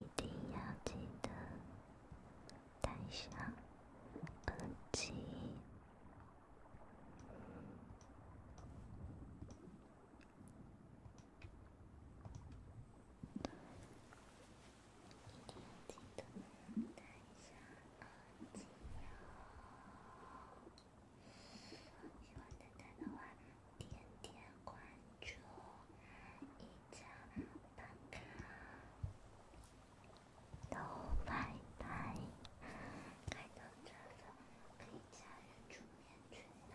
一定要记得带上耳机。一定要记得带上耳机哟。喜欢丹丹的话，点点关注，加。都拜拜！开灯吃饭，可以加入助眠群的。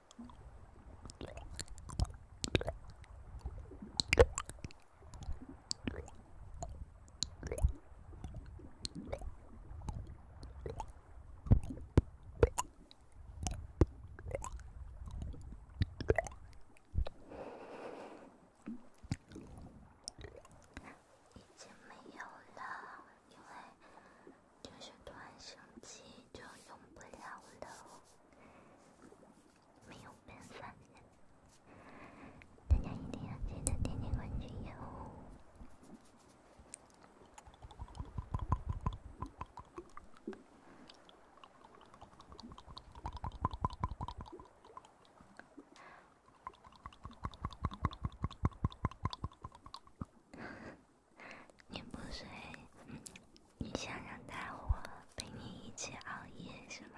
没有了，因为。就是突然升就用不了没有办法大家一定要记得点点关注哟。你不睡，你想让大伙陪你一起熬夜是吧？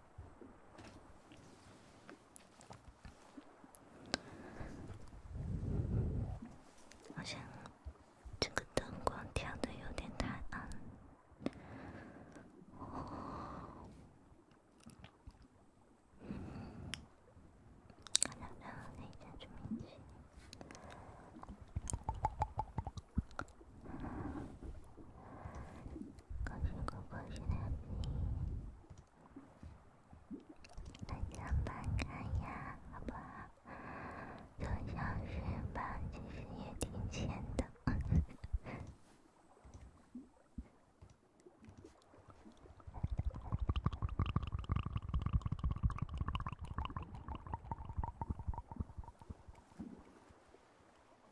好像这个灯光调的有点太暗。好的，那我们再住一起。可惜，可惜了你。大家慢看呀，好吧，这小时吧其实也挺浅的。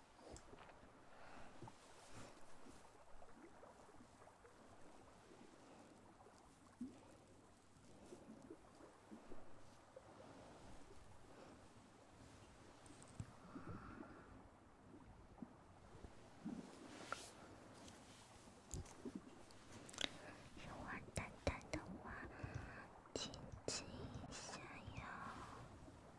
喜欢淡淡的花，轻轻香哟。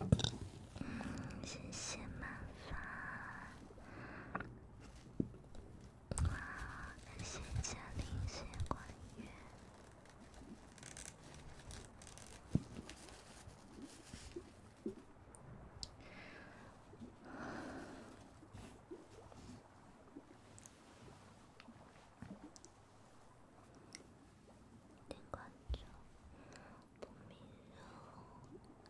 嗯，谢谢麻烦。感谢嘉玲，谢关悦，点关注，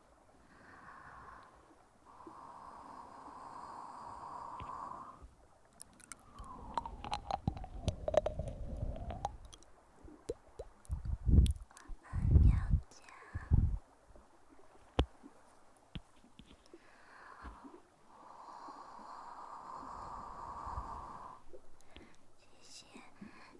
我们要讲，谢谢。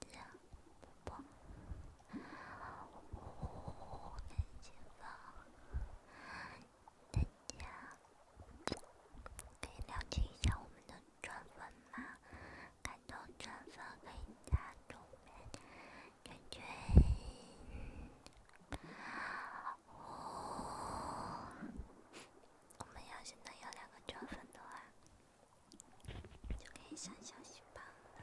大家，可以了解一下我们的转粉吗？看到转粉可以加重点，娟娟。我们要现在有两个转粉的话。就可以上消息棒了。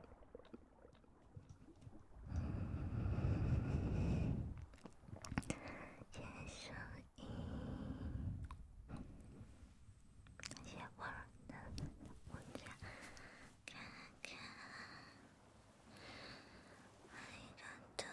结束一些温柔的观察，看看爱的痛。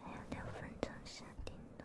还有两分钟下定的。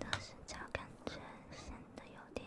但是脚感觉显得有点。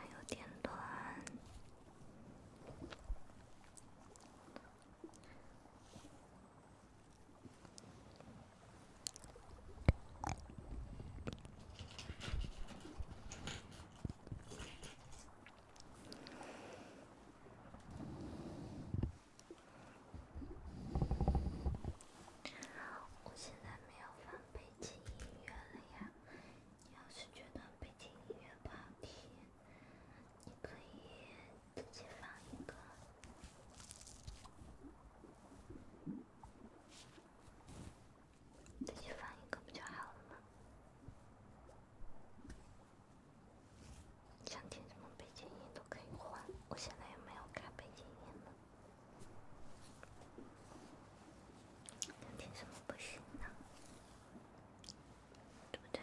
有点我现在没有放背景音乐了呀。你要是觉得背景音乐不好听，你可以自己放一个，自己放一个不就好了吗？想听什么背景音都可以换，我现在也没有开背景音呢。听什么不行呢？对不对？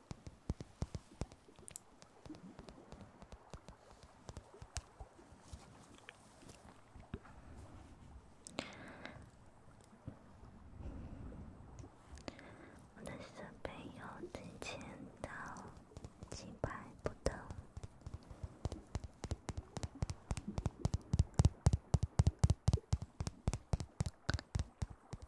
我的设备又提前到几百步的。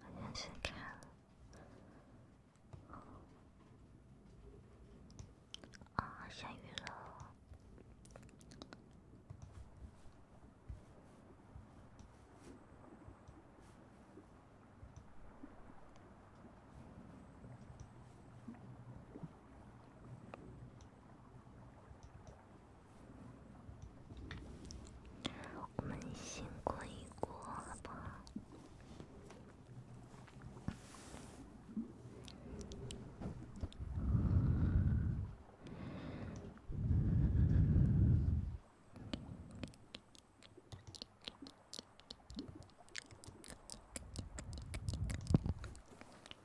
好像是开了啊！下雨了。我们先过一过吧。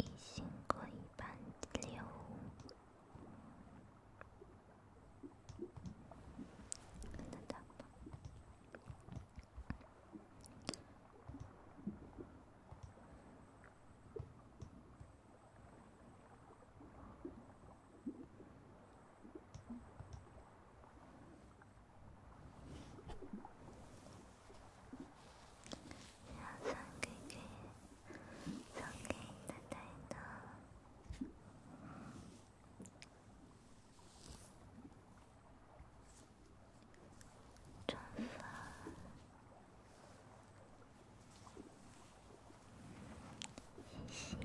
异形过一般猎物，能打吗？要送给，送给你的搭档，转发，谢谢。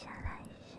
接下来是。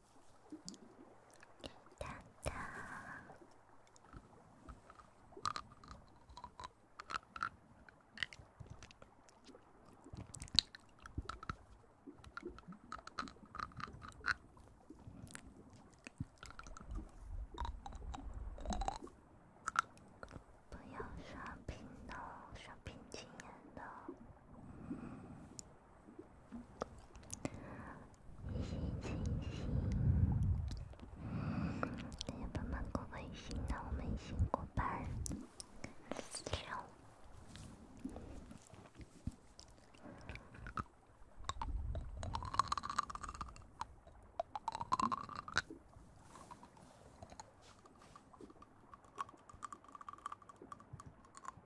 不要刷屏了，刷屏气人了。一心，一心，爸爸、妈妈，一心让我们一心过班。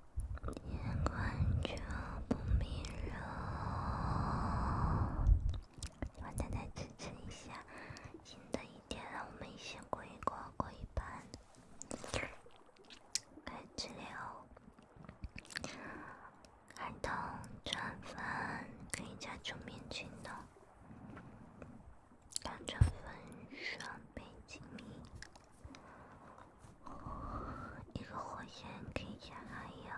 阳光就不明了。我再来支持一下，新的一天，让我们一起过一过，过一半。开吃料，开通转粉，可以加九米九的。转粉准备奖励。一个火焰可以加寒药。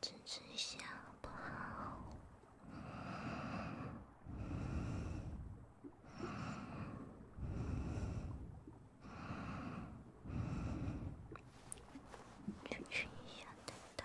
支持一下，好不好？支持一下他。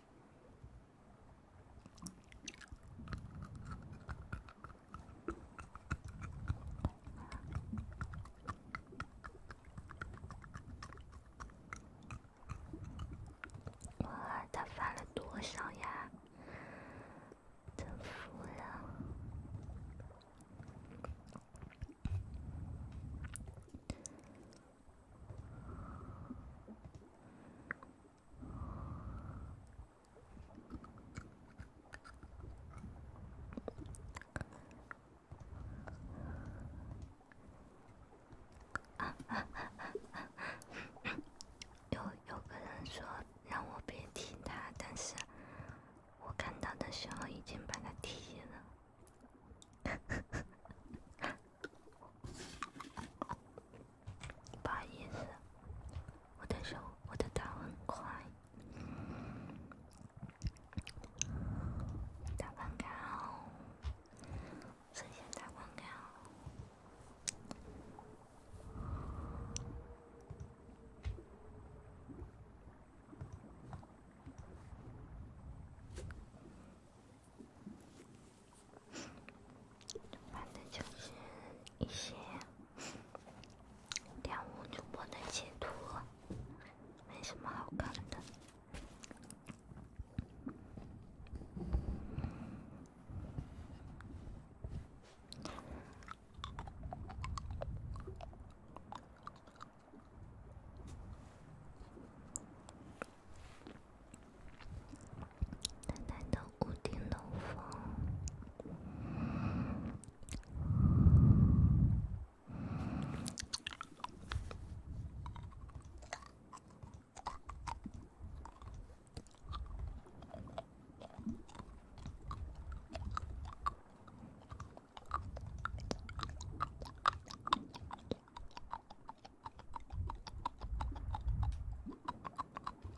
哇，他发了多少呀？真服了。啊 有有个人说让我别踢他，但是我看到的时候已经把他踢了。不好意思，我的手，我的打分卡，打分卡哦，神仙打分卡哦。反正就是一些跳舞主播的截图，没什么好看的。淡淡的屋顶漏风。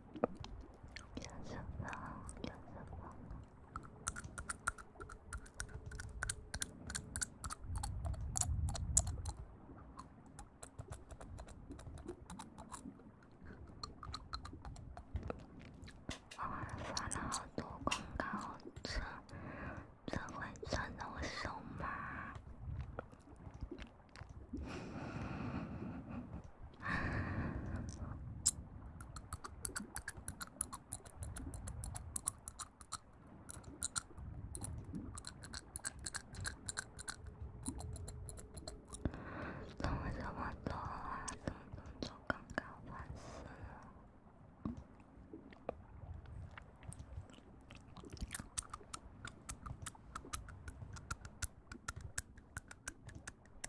健身房，健身房。我发了好多广告，这这会传到我手吗？怎么这么多啊！怎么这么搞烦死了！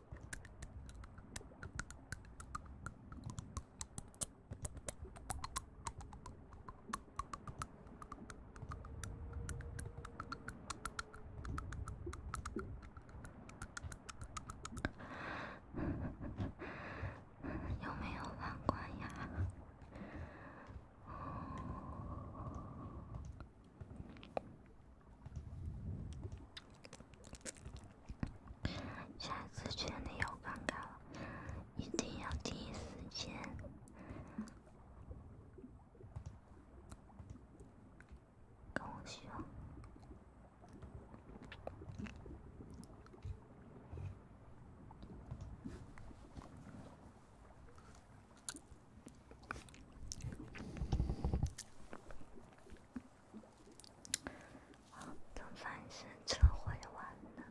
有没有网关呀？下次群里又尴尬了，一定要第一时间跟我说。啊！做饭是这回完了，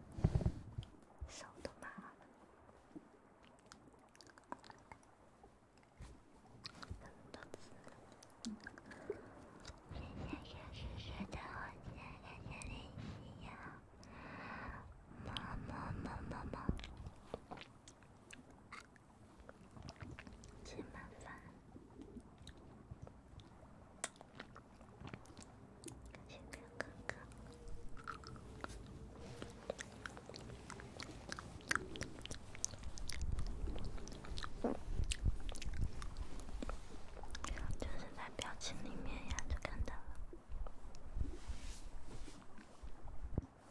手都麻了。现在开始学的，我现在开始练习呀！么么么么么。请麻烦，感谢两个哥哥，就是在表情里面呀，就看到了。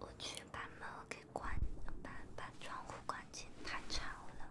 我去把门给关，把把窗户关紧，太潮了。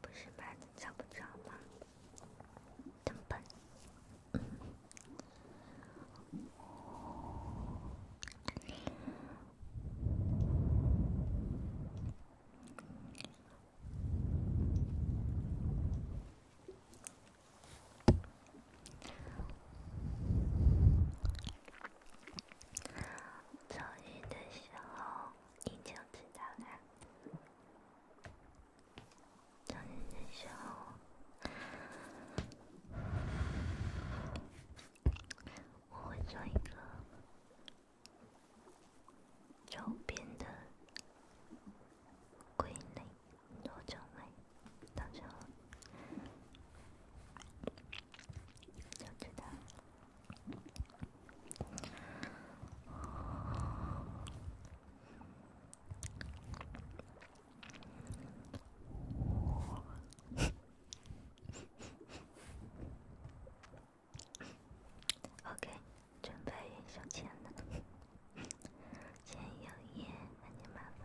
不是吧？找不着吗？的时候。你就知道了。等你的时候，我会做一个周边的归类，多精美，到时候就知道。OK，准备收钱了，钱有耶，那你麻烦。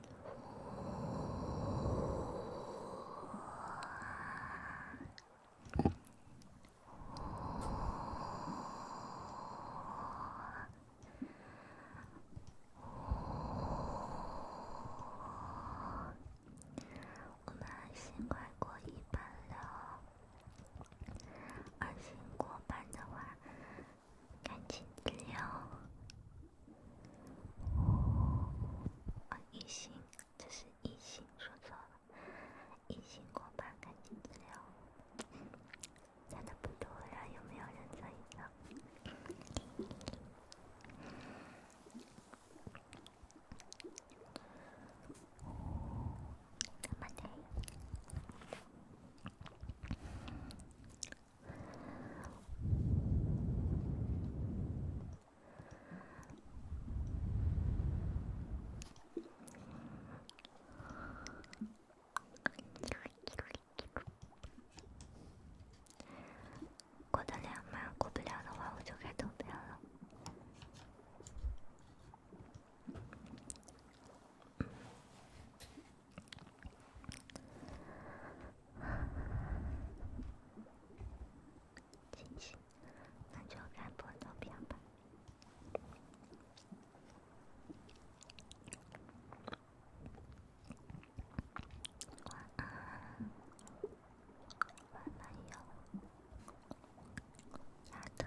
我们安心快过一半了，安心过半的话，赶紧治疗。哦，一心，这是一心说错了，一心过吧，赶紧治疗，加的不多了，有没有人在意的？怎么的？过得了吗？过不了的话，我就开投票了。清醒，那就看破头片吧。晚安哟，丫头。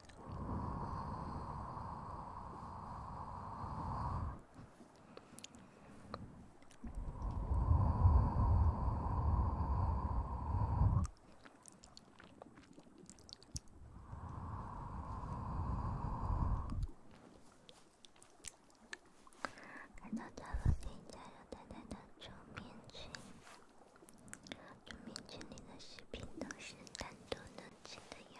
哦，来到客厅，家有淡淡的臭面具。臭面具里的食品都是单独能吃的哟。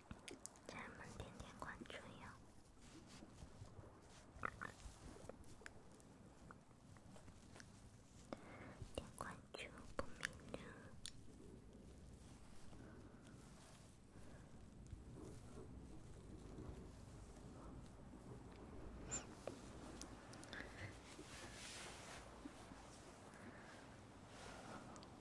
家人们，点点关注哟，点关注不迷路。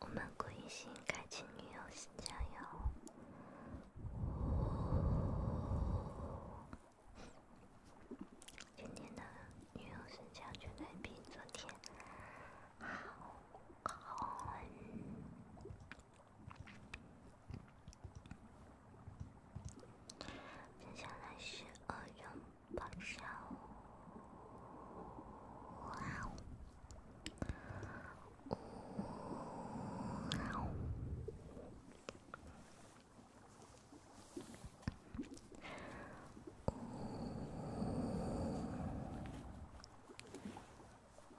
我们贵姓？星开启女友新佳哟。今天的女友新佳绝对比昨天好，接下来是恶拥抱下午，呜嗷，呜嗷。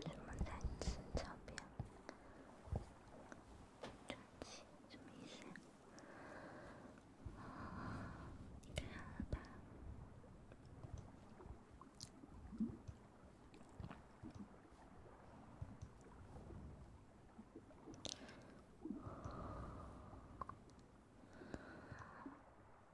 什么材质照片？传奇什么意思呀？你看了吧？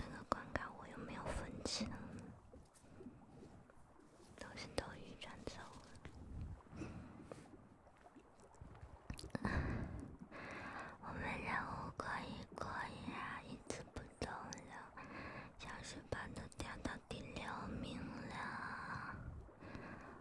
那个关卡我有没有分清？都是斗鱼赚走了。我们任务可以过呀，一字不漏的，奖品都掉到第六名了。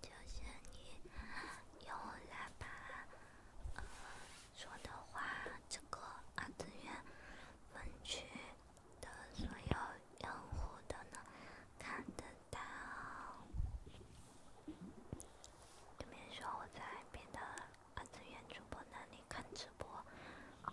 就像你，由来把说的话，这个二次元分区的所有用户都能看得到。就比如说我在别的二次元主播那里看直播。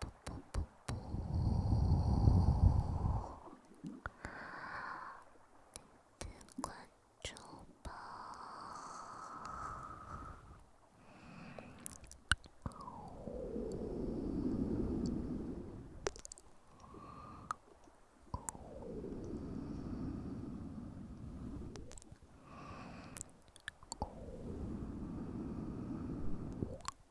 不不不不，点关注吧。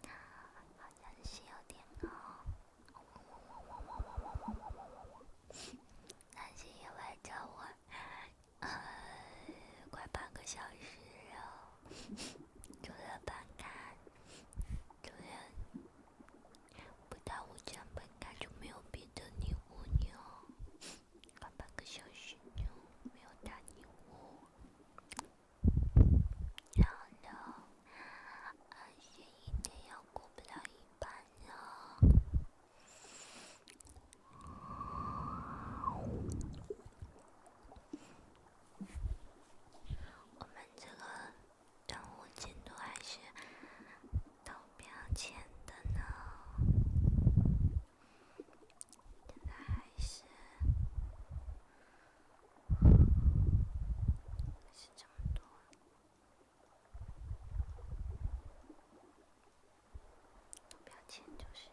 他好像是有点哦，但是围着我快半个小时了，就任班干，主任不到我讲班干就没有别的礼物。妞，快半个小时了，没有打女巫。天呐，安是一天要过不了一半呢。我们这个任务进度还是都到标前的呢，现在还是。是这么多。标签就是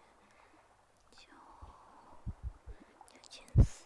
九九千四。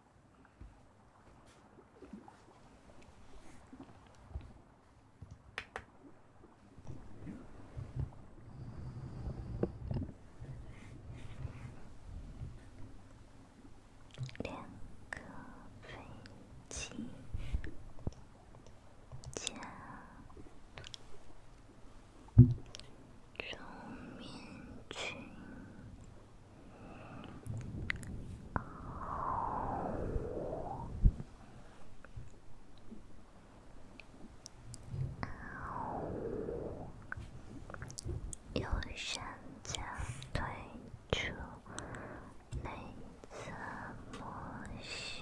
两个飞机加中面群。右上角退出内测模式。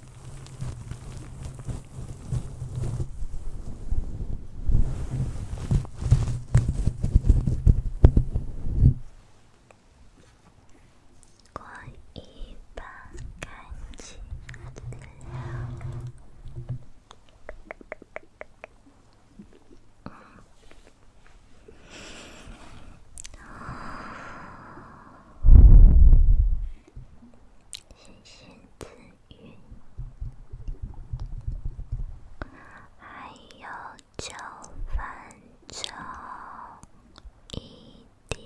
关一半，开启。星星之语，还有九分钟一点。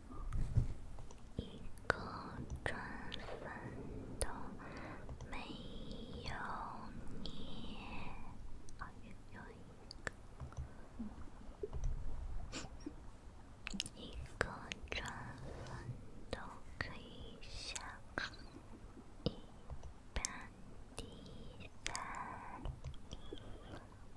一个转分都没有，一个一个转分都可以下，一班第三。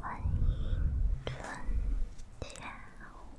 欢迎春下午。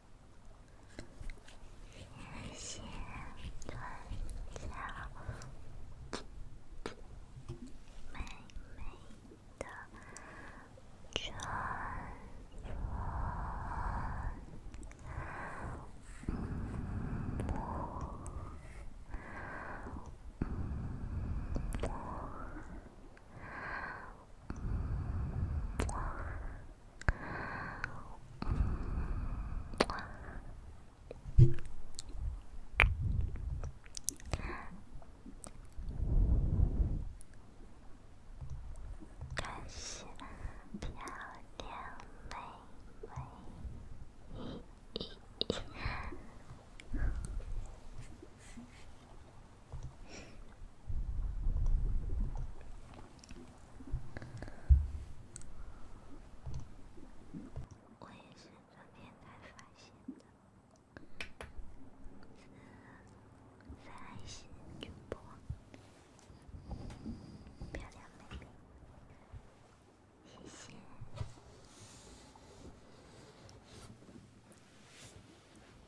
心存下最美的祝福。感谢漂亮妹妹。我也是昨天才发现的，是在线主播，漂亮妹妹，谢谢。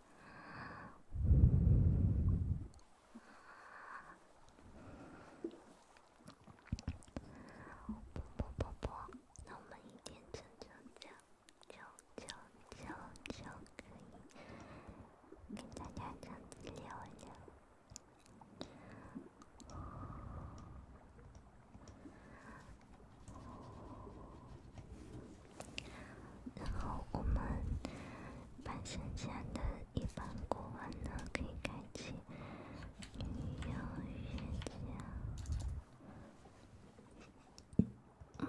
不不不不，那我们一天九九九九九九九可以给大家讲六讲。然后我们把剩下的一半过完呢，可以开启女妖预言家。嗯。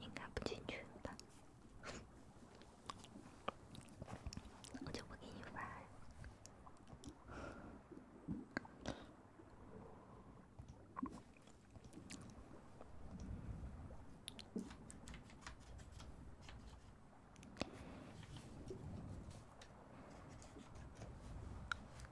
应该不进群吧，我就不给你发。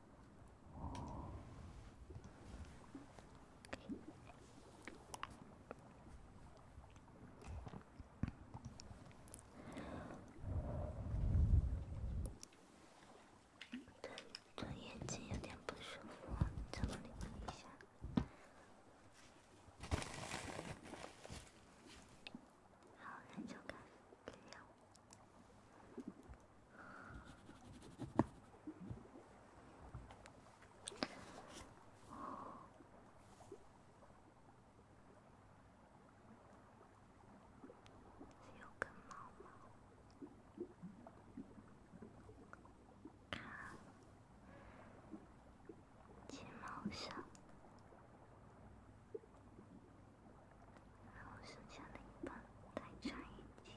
我的眼睛有点不舒服，整理一下。好了，就开聊。有根毛吗？看，睫毛上，然后剩下的一半太长，眼睛。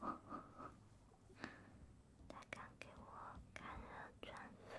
他敢给我看热转粉？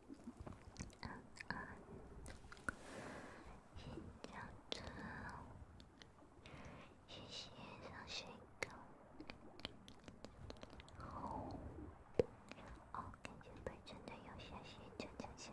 心跳，心上睡个好。哦，感觉被真的有些心跳跳起来。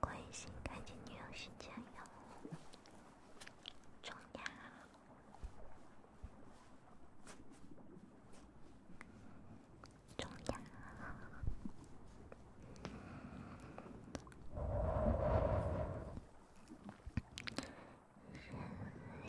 关心看见女友睡觉哟，重要，重要，人类，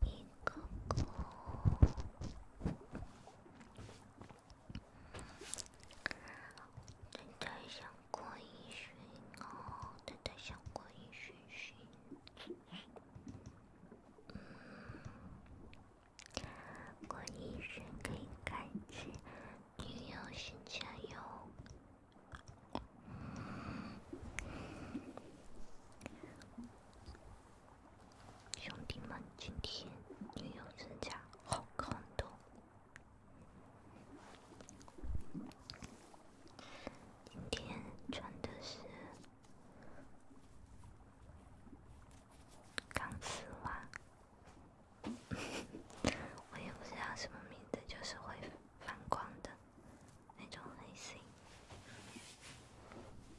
你哥哥，正在想郭一勋哦，正在想郭一勋勋。嗯，郭一勋可以开机，你要先加油。兄弟们，今天女友之家好看的。今天穿的是钢丝袜，我也不知道什么名字，就是会反光的那种黑色。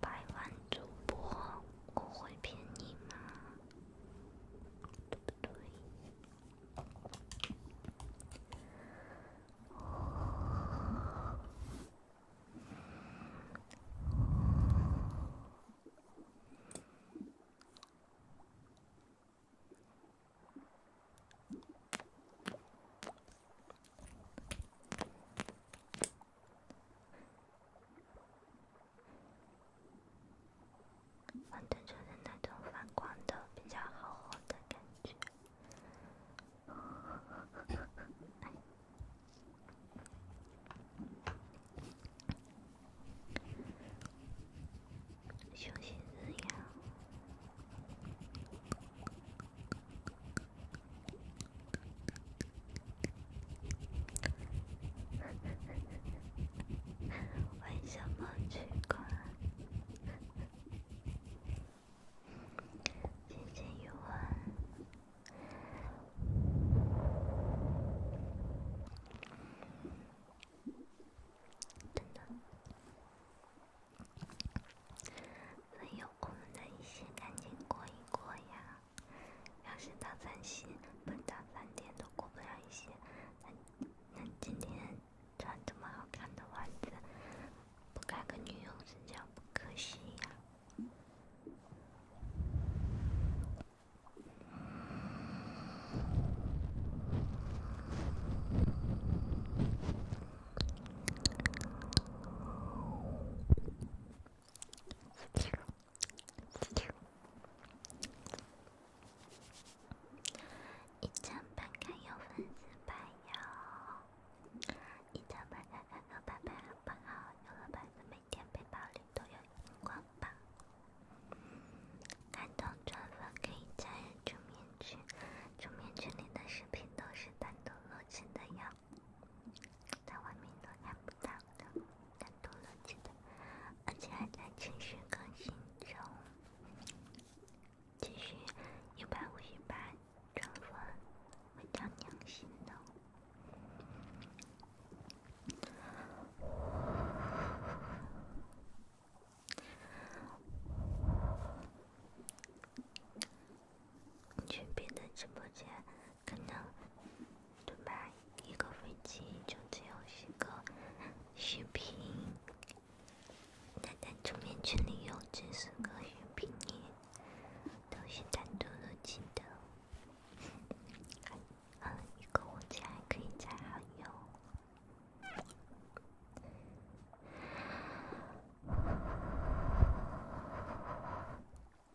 百万主播，我会骗你吗？反光的那种，反光的，比较好，华的感觉。为什么取关？等等，有空的一些，赶紧过一过呀。要是到三星不到三点都过不了线，那那今天穿这么好看的裙子，不给个女友分享，不可惜呀？一张板卡有粉丝牌哟，一张板卡上有牌牌和有了牌子，每天背包里都有荧光棒。看到转发可以加入主面具，主面具里的视频都是单独录制的哟。在外面都看不到的，单独录制的，而且还在持续更新中。继续一百五十八乘分，会心的。群里的直播间。可能对吧？一个火箭就只有是个视频，但在桌面群里有只是个视频，都是单独录制的。嗯，一个火箭还可以再喊用。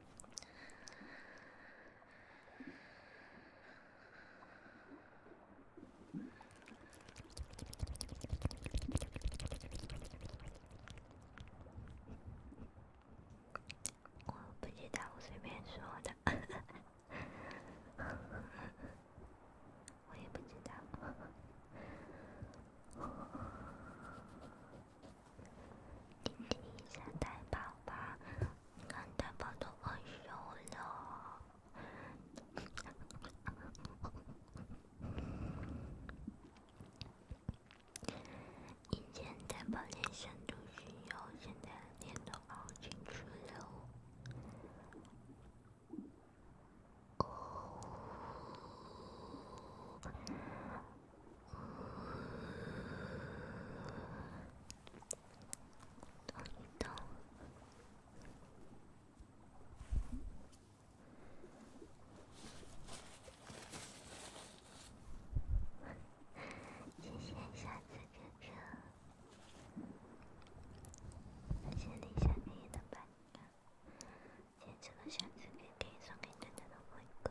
我不知道，我随便说的。我也不知道。听听一下大宝宝，你看大宝都害羞了。以前大宝脸上都是油，现在脸都凹进去了。哦。动一动，谢谢下次哥哥，谢谢你下面的陪伴，谢谢我下次可以送给你的玫瑰。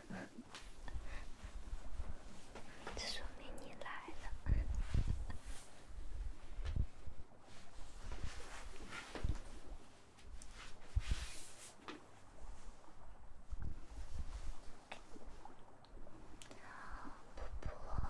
这说明你来了，婆婆。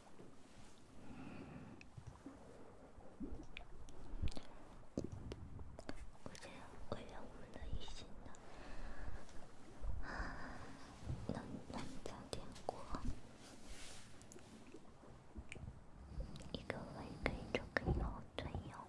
我真祝愿我们的一心的能能早点过一个会，可以就可以后退哟。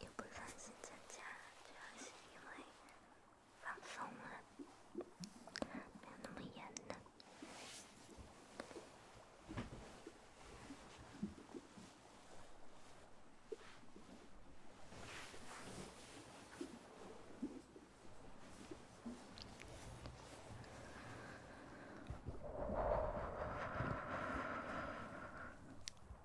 又不担心增加，主要是因为放松了，没有那么严了。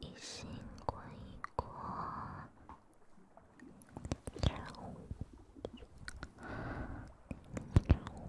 一，心过一过，跳舞，跳舞。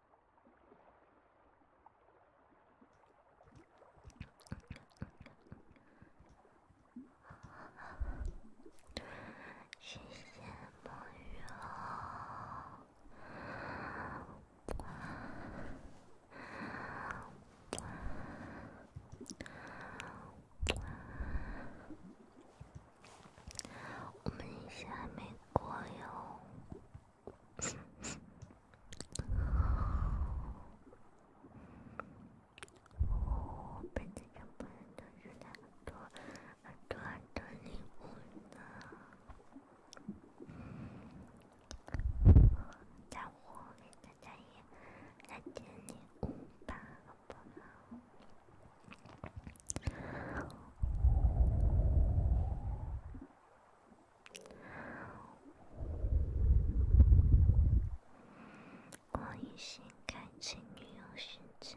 谢谢梦游。我们一下没过哟，哦，本子上不能多出来很多很多很多礼物呢，再忽略大家也来点礼物吧，好不好？我先开启女友视角。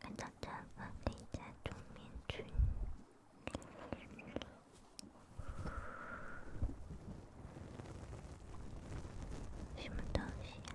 看到这个李家村民村，什么东西呀？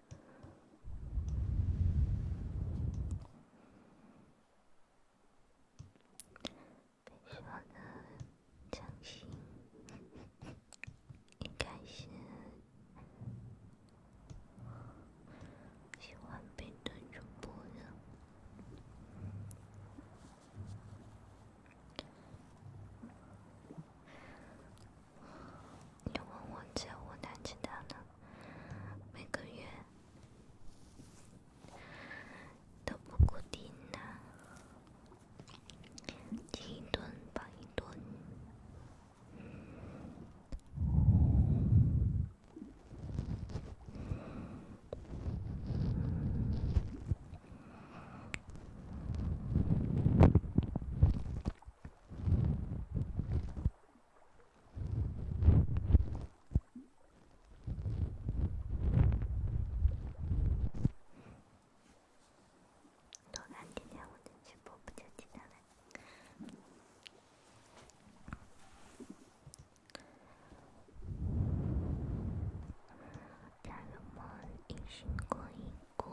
被说的伤心，应该是喜欢别的主播的。你问我姐我哪知道呢？每个月都不固定呢，停一顿放一顿。多看几天我的直播不就几天了？加入梦一巡过过。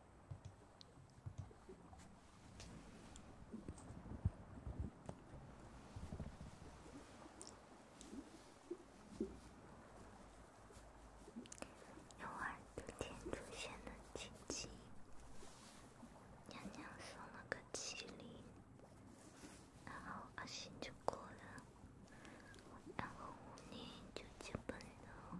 有耳朵天出现的契机，娘娘送了个麒麟，然后阿信就过了，然后五年就结婚了。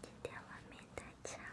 今天外面太吵了。